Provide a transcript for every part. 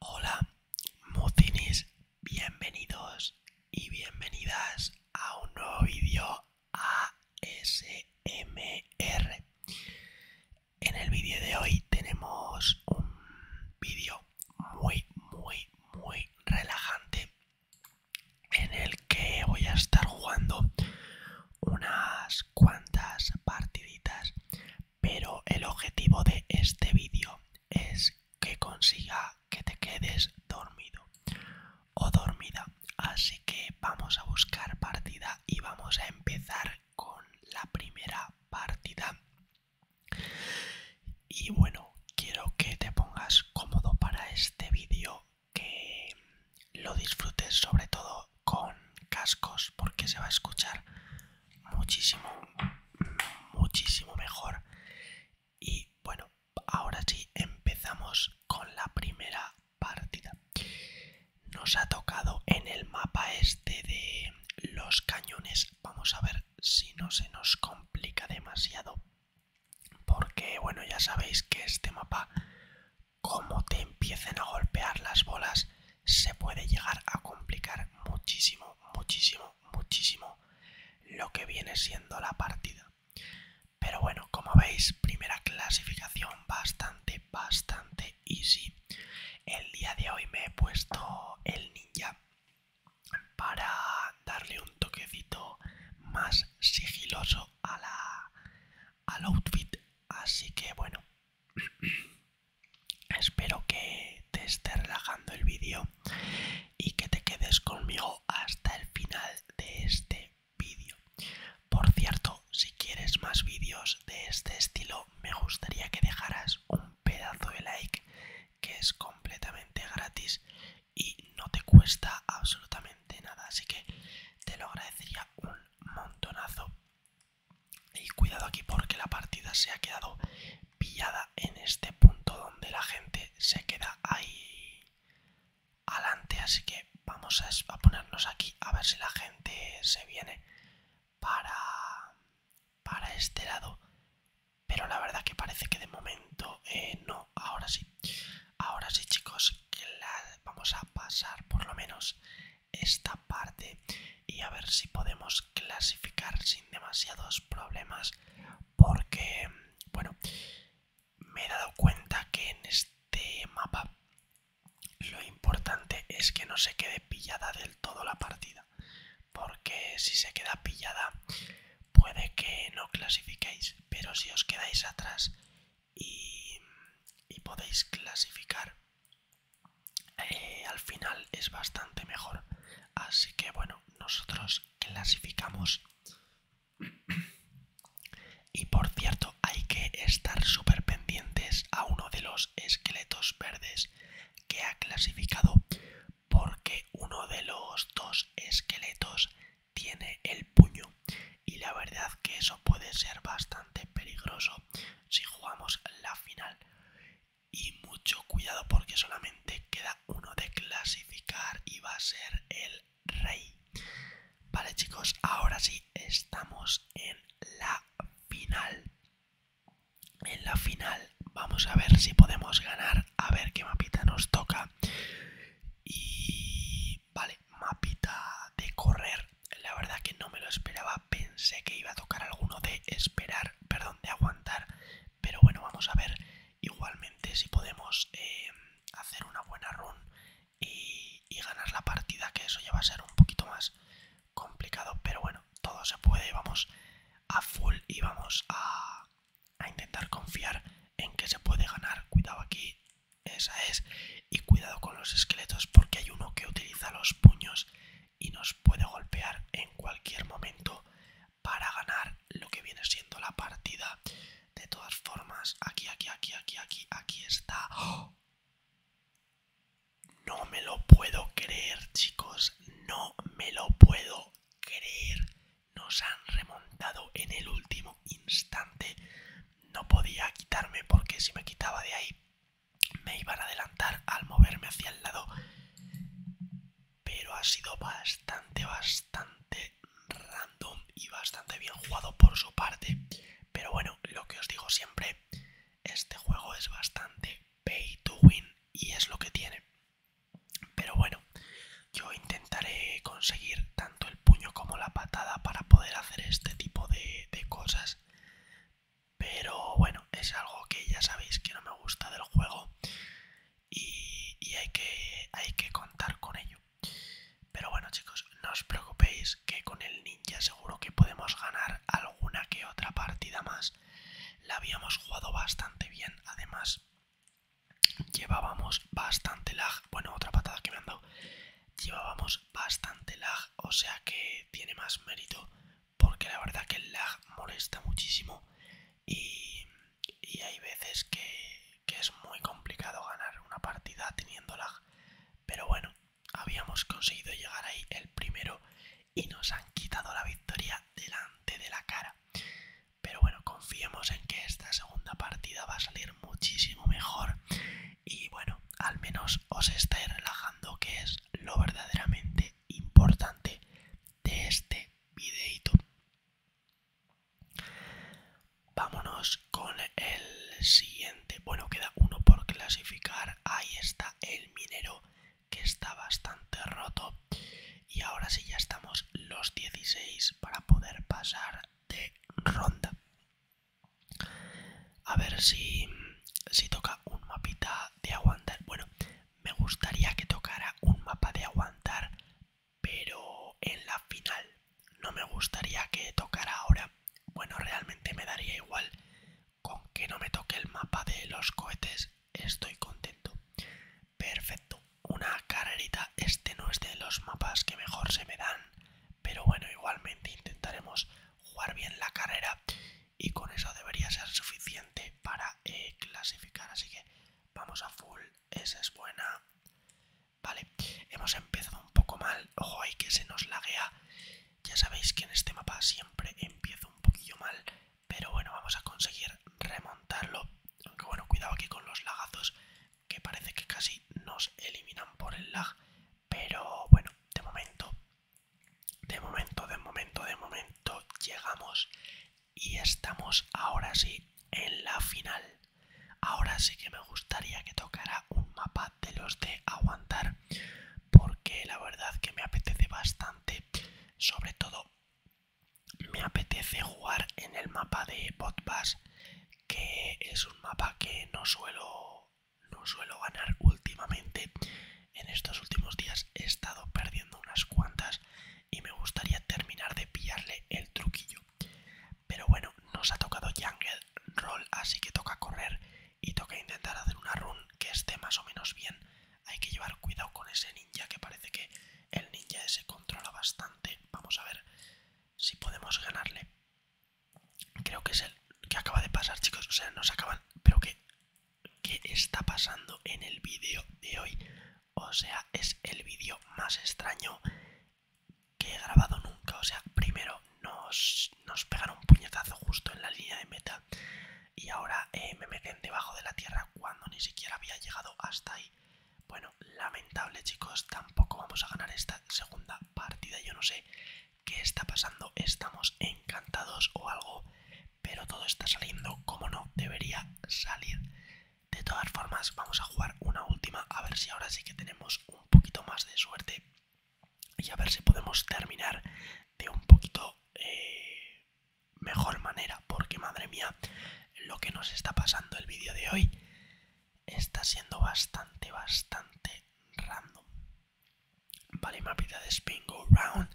Hola, mocines, bienvenidos y bienvenidas a un nuevo vídeo ASMR. En el vídeo de hoy tenemos un vídeo muy, muy, muy relajante en el que voy a estar jugando unas cuantas partiditas pero el objetivo de este vídeo es que consiga que te quedes dormido o dormida. Así que vamos a buscar partida y vamos a empezar con la primera partida. Y bueno, quiero que te pongas cómodo para este vídeo, que lo disfrutes sobre todo con cascos porque se va a escuchar muchísimo, muchísimo mejor. Y bueno, ahora sí empezamos con la primera partida. Nos ha tocado en el mapa este de los cañones. Vamos a ver si no se nos complica demasiado. Porque bueno, ya sabéis que este mapa, como te empiecen a golpear las bolas, se puede llegar a complicar muchísimo, muchísimo, muchísimo lo que viene siendo la partida. Pero bueno, como veis, primera clasificación bastante, bastante easy. El día de hoy me he puesto el ninja para darle un toquecito más sigiloso a la, al outfit. Así que bueno, Espero que te esté relajando el vídeo y que te quedes conmigo hasta el final de este vídeo. Por cierto, si quieres más vídeos de este estilo, me gustaría que dejaras un pedazo de like que es completamente gratis y no te cuesta absolutamente nada, así que te lo agradecería un montonazo. Y cuidado aquí porque la partida se ha quedado pillada en este punto donde la gente se queda ahí adelante. Así que vamos a, ponernos aquí a ver si la gente se viene para, para este lado. Pero la verdad que parece que de momento eh, no. Ahora sí. Ahora sí chicos, que vamos a pasar por lo menos esta parte y a ver si podemos clasificar sin demasiados problemas porque bueno me he dado cuenta que en este mapa lo importante es que no se quede pillada del todo la partida porque si se queda pillada puede que no clasifiquéis pero si os quedáis atrás y, y podéis clasificar eh, al final es bastante mejor. Así que bueno, nosotros clasificamos. y por cierto, hay que estar súper pendientes a uno de los esqueletos verdes que ha clasificado porque uno de los dos esqueletos tiene el puño y la verdad que eso puede ser bastante peligroso si jugamos la final. Y mucho cuidado porque solamente queda uno de clasificar y va a ser el rey. Vale chicos, ahora sí estamos en la final. En la final vamos a ver si podemos ganar, a ver qué mapita nos toca. Y vale, mapita de correr. La verdad que no me lo esperaba. Pensé que iba a tocar alguno de esperar, perdón, de aguantar. Pero bueno, vamos a ver igualmente si podemos eh, hacer una buena run y, y ganar la partida, que eso ya va a ser un poquito más complicado. Pero bueno, todo se puede. Vamos a full y vamos a, a intentar confiar en que se puede ganar. Cuidado aquí. Esa es. Y cuidado con los esqueletos porque hay uno que utiliza los puños y nos puede golpear en cualquier momento para ganar lo que viene siendo la partida. De todas formas, aquí, aquí, aquí, aquí, aquí, aquí está. No me lo puedo creer, chicos. No me lo puedo creer. Nos han remontado en el último instante. No podía quitarme porque si me quitaba de ahí me iban a adelantar al moverme hacia el lado pero ha sido bastante bastante random y bastante bien jugado por su parte pero bueno lo que os digo siempre este juego es bastante pay to win y es lo que tiene pero bueno yo intentaré conseguir tanto el puño como la patada para poder hacer este tipo de, cosas pero bueno, es algo que ya sabéis que no me gusta del juego y, hay, que, hay que contar con ello. Pero bueno chicos, no os preocupéis que con el ninja seguro que podemos ganar alguna que otra partida más. La habíamos jugado bastante bien, además llevábamos bastante lag. Bueno, otra patada que me han dado. Llevábamos bastante lag, o sea que tiene más mérito, porque la verdad que el lag molesta muchísimo y, hay veces que es muy complicado ganar una partida teniendo lag. Pero bueno, habíamos conseguido llegar ahí el primero y nos han quitado la victoria delante de la cara. Pero bueno, confiemos en que esta segunda partida va a salir muchísimo mejor y bueno, al menos os estáis relajando, que es lo verdaderamente importante de este videito. Vámonos con el siguiente. Bueno, queda uno por clasificar. Ahí está el minero que está bastante roto. Y ahora sí ya estamos los 16 para poder pasar de ronda. A ver si, toca un mapita de aguantar. Bueno, me gustaría que tocara un mapa de aguantar, pero en la final. No me gustaría que tocara ahora. Bueno, realmente me daría igual. Con que no me toque el mapa de los cohetes, estoy contento. Perfecto, una carrerita. Este no es de los mapas que mejor se me dan pero bueno, igualmente intentaremos jugar bien la carrera y con eso debería ser suficiente para eh, clasificar. Así que vamos a full, esa es buena. Vale, hemos empezado un poco mal. Ojo ahí que se nos laguea. Ya sabéis que en este mapa siempre empiezo un poquillo mal, pero bueno, vamos a conseguir remontarlo. Aunque bueno, cuidado aquí con los lagazos que parece que casi nos eliminan por el lag. Pero bueno, de momento, de momento, de momento, de momento llegamos y estamos ahora sí en la final. Ahora sí que me gustaría que tocara un mapa de los de aguantar porque la verdad que me apetece bastante, sobre todo me apetece jugar en el mapa de Botbass que es un mapa que no suelo, no suelo ganar últimamente. En estos últimos días he estado perdiendo unas cuantas y me gustaría terminar de pillarle el truquillo. Pero bueno, nos ha tocado Jungle Roll, así que toca correr y toca intentar hacer una run que esté más o menos bien. Hay que llevar cuidado con ese ninja que parece que el ninja ese controla bastante. Vamos a ver si podemos ganarle. Creo que es el que acaba de pasar, chicos. O sea, nos acaban. Pero que. ¿Qué está pasando en el vídeo de hoy? O sea, es el vídeo más extraño que he grabado nunca. O sea, primero nos, pegaron un puñetazo justo en la línea de meta. Y ahora eh, me meten debajo de la tierra cuando ni siquiera había llegado hasta ahí. Bueno, lamentable chicos, tampoco vamos a ganar esta segunda partida. Yo no sé qué está pasando, estamos encantados o algo, pero todo está saliendo como no debería salir. De todas formas, vamos a jugar una última, a ver si ahora sí que tenemos un poquito más de suerte y a ver si podemos terminar de un poquito eh, mejor manera, porque madre mía, lo que nos está pasando el vídeo de hoy está siendo bastante, bastante random. Vale, mapita de Spin Round.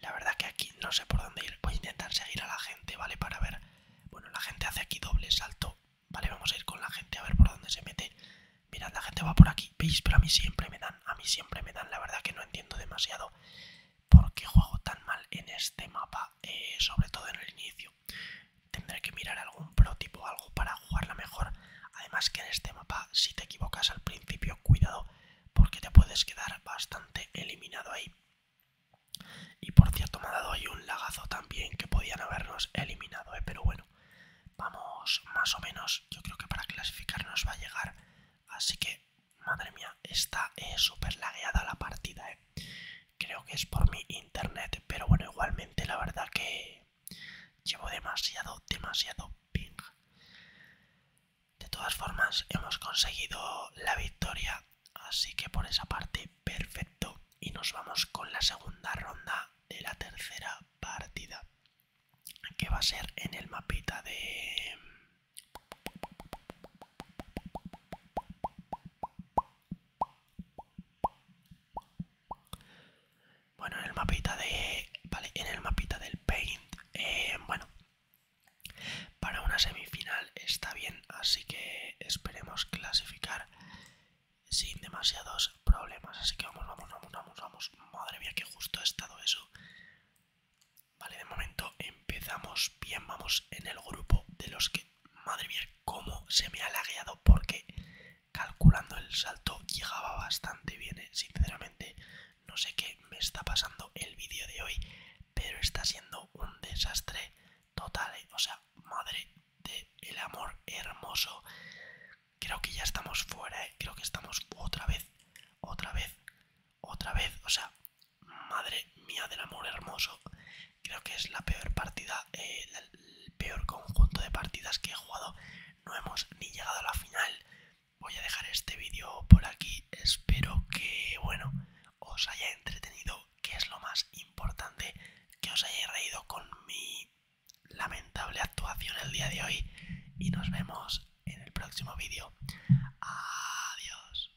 La verdad que aquí no sé por dónde ir. Voy a intentar seguir a la gente, ¿vale? Para ver. Bueno, la gente hace aquí doble salto. Vale, vamos a ir con la gente a ver por dónde se mete. Mirad, la gente va por aquí. ¿Veis? Pero a mí siempre me dan. A mí siempre me dan. La verdad que no entiendo demasiado por qué juego tan mal en este mapa. Eh, sobre todo en el inicio. Tendré que mirar algún protipo o algo para jugarla mejor. Además que en este mapa, si te equivocas al principio, cuidado, porque te puedes quedar bastante eliminado ahí. Y por cierto, me ha dado ahí un lagazo también que podían habernos eliminado, ¿eh? pero bueno, vamos más o menos. Yo creo que para clasificar nos va a llegar. Así que, madre mía, está eh, súper lagueada la partida. ¿eh? creo que es por mi internet pero bueno igualmente la verdad que llevo demasiado demasiado ping de todas formas hemos conseguido la victoria así que por esa parte perfecto y nos vamos con la segunda ronda de la tercera partida que va a ser en el mapita de bueno, en el mapita de. Vale, en el mapita del Paint. Eh, bueno. Para una semifinal está bien, así que esperemos clasificar sin demasiados problemas. Así que vamos, vamos, vamos, vamos, vamos. Madre mía, que justo ha estado eso. Vale, de momento empezamos bien, vamos en el grupo de los que madre mía, cómo se me ha lagueado porque calculando el salto llegaba bastante bien, ¿eh? sinceramente. No sé qué me está pasando el vídeo de hoy, pero está siendo un desastre total. ¿eh? O sea, madre de el amor hermoso. Creo que ya estamos fuera, ¿eh? creo que estamos otra vez, otra vez, otra vez. O sea, Madre mía del amor hermoso. Creo que es la peor partida, eh, el peor conjunto de partidas que he jugado. No hemos ni llegado a la final. Voy a dejar este vídeo por aquí. Espero que, bueno, os haya entretenido, que es lo más importante, que os haya reído con mi lamentable actuación el día de hoy. Y nos vemos en el próximo vídeo. Adiós.